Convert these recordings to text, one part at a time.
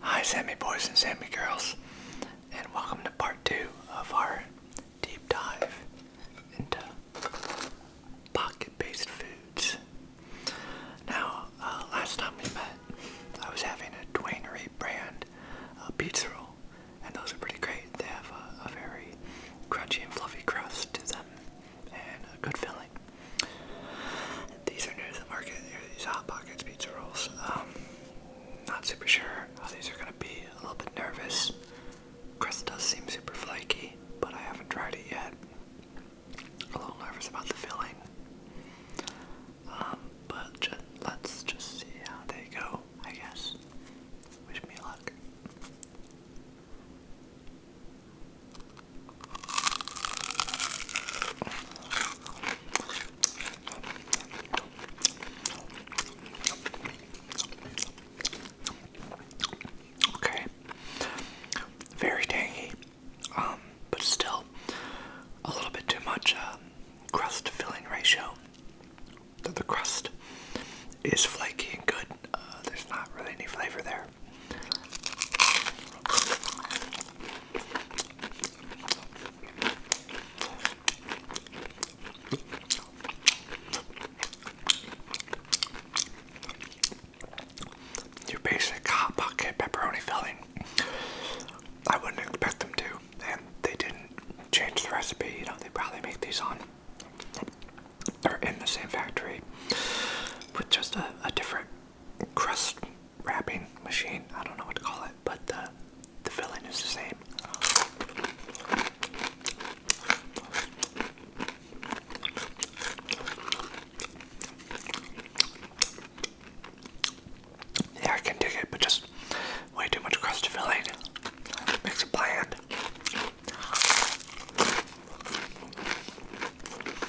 Hi, Sammy boys and Sammy girls, and welcome to part two of our deep dive into pocket based foods. Now, uh, last time we met, I was having a Dwainery brand uh, pizza roll, and those are pretty great. They have a very crunchy and fluffy crust to them and a good filling. These are new to the market. These Hot Pockets pizza rolls. Um, not super sure how these are gonna be. A little bit nervous. Crust does seem super flaky, but I haven't tried it yet. A little nervous about the filling. Um, but let's just see how they go. I guess. Wish me luck. Okay. Very tangy, um, but still a little bit too much uh, crust filling ratio. The, crust is flaky and good. Uh, there's not really any flavor there. Your basic hot pocket pepperoni filling. I wouldn't expect them to, and they didn't change the recipe. You know, they probably make these on or in the same factory with just a, a different crust wrapping machine. I don't know what to call it, but the uh, the filling is the same. Yeah, I can dig it, but just way too much crust filling. Makes it bland.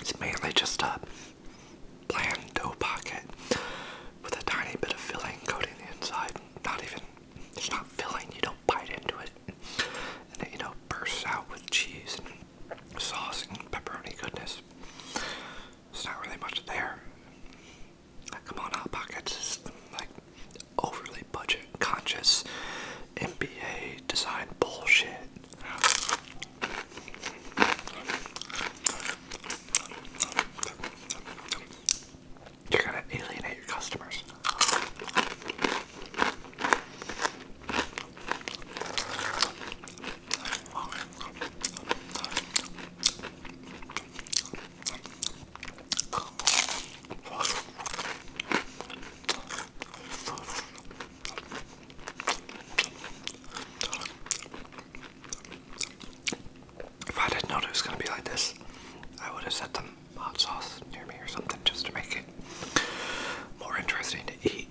It's mainly just a plain dough pocket with a tiny bit of filling coating the inside. Not even, it's not filling, you don't bite into it. And it, you know, bursts out with cheese and sauce and pepperoni goodness. It's not really much there. come on, Hot Pockets is like overly budget conscious NBA design bullshit. You're gonna alienate your customers. If I didn't know it was going to be like this, I would have set some hot sauce near me or something just to make it more interesting to eat.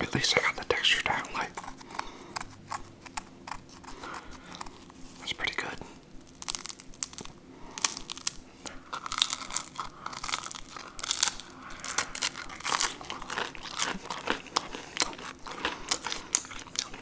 At least I got the texture down. Like that's pretty good.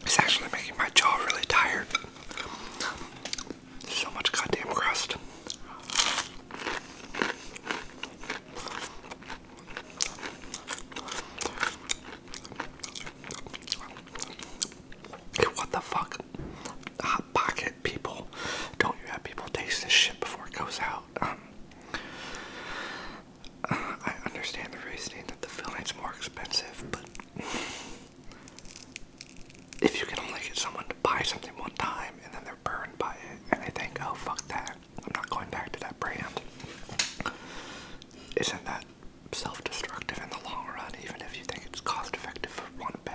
It's actually making my jaw really tired. So much goddamn crust. What the fuck? Hot pocket people. Don't you have people taste this shit before it goes out? Um, I understand the reasoning that the filling's more expensive, but if you can only get someone to buy something one time and then they're burned by it and they think, oh fuck that, I'm not going back to that brand. Isn't that self destructive in the long run, even if you think it's cost effective for one bag?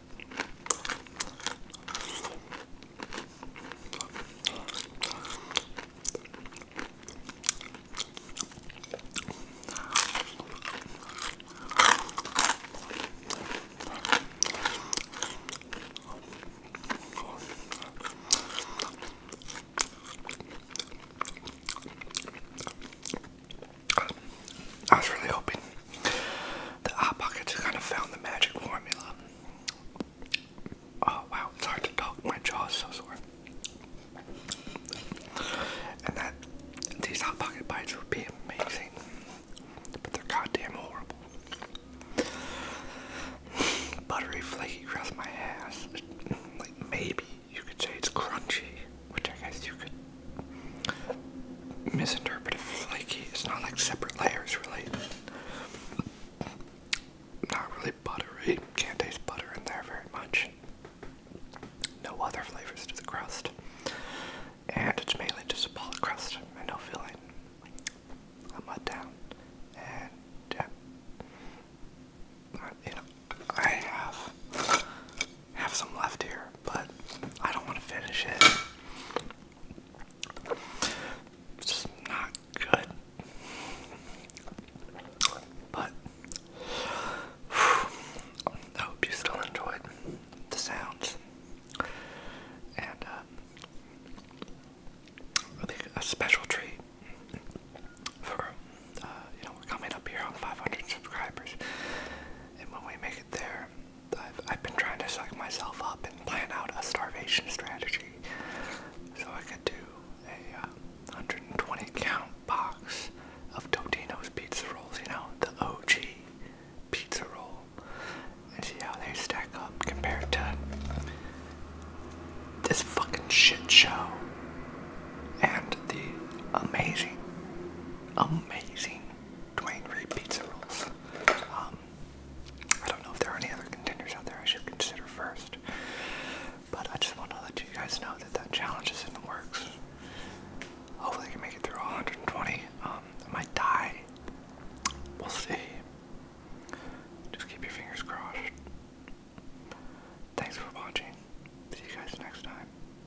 I was really hoping the Hot Pockets kind of found the magic formula. Oh wow, it's hard to talk. My jaw so sore. And that these Hot Pocket bites would be amazing, but they're goddamn horrible. Buttery, flaky crust my ass. Like maybe you could say it's crunchy, which I guess you could misinterpreted flaky. It's not like separate layers, really. Not really buttery. Can't taste butter in there very much. No other flavors to the crust. And it's mainly just a ball of crust and no filling. I'm let down. And yeah. I, you know, I have have some left here, but I don't want to finish it. It's just not good. But I hope you still enjoyed the sounds. And uh, a special treat for uh, you know coming up here on 500 subscribers, and when we make it there, I've, been trying to suck myself up and plan out a starvation strategy so I could do a 120 uh, count box of Totino's pizza rolls, you know, the OG pizza roll, and see how they stack up compared to this fucking shit show and the amazing, amazing Dwayne Reed Pizza Rolls. Um, I don't know if there are any other contenders out there I should consider first, but I just want to let you guys know that that challenge is in the works. Hopefully, I can make it through 120. Um, I might die. We'll see. Just keep your fingers crossed. Thanks for watching. See you guys next time.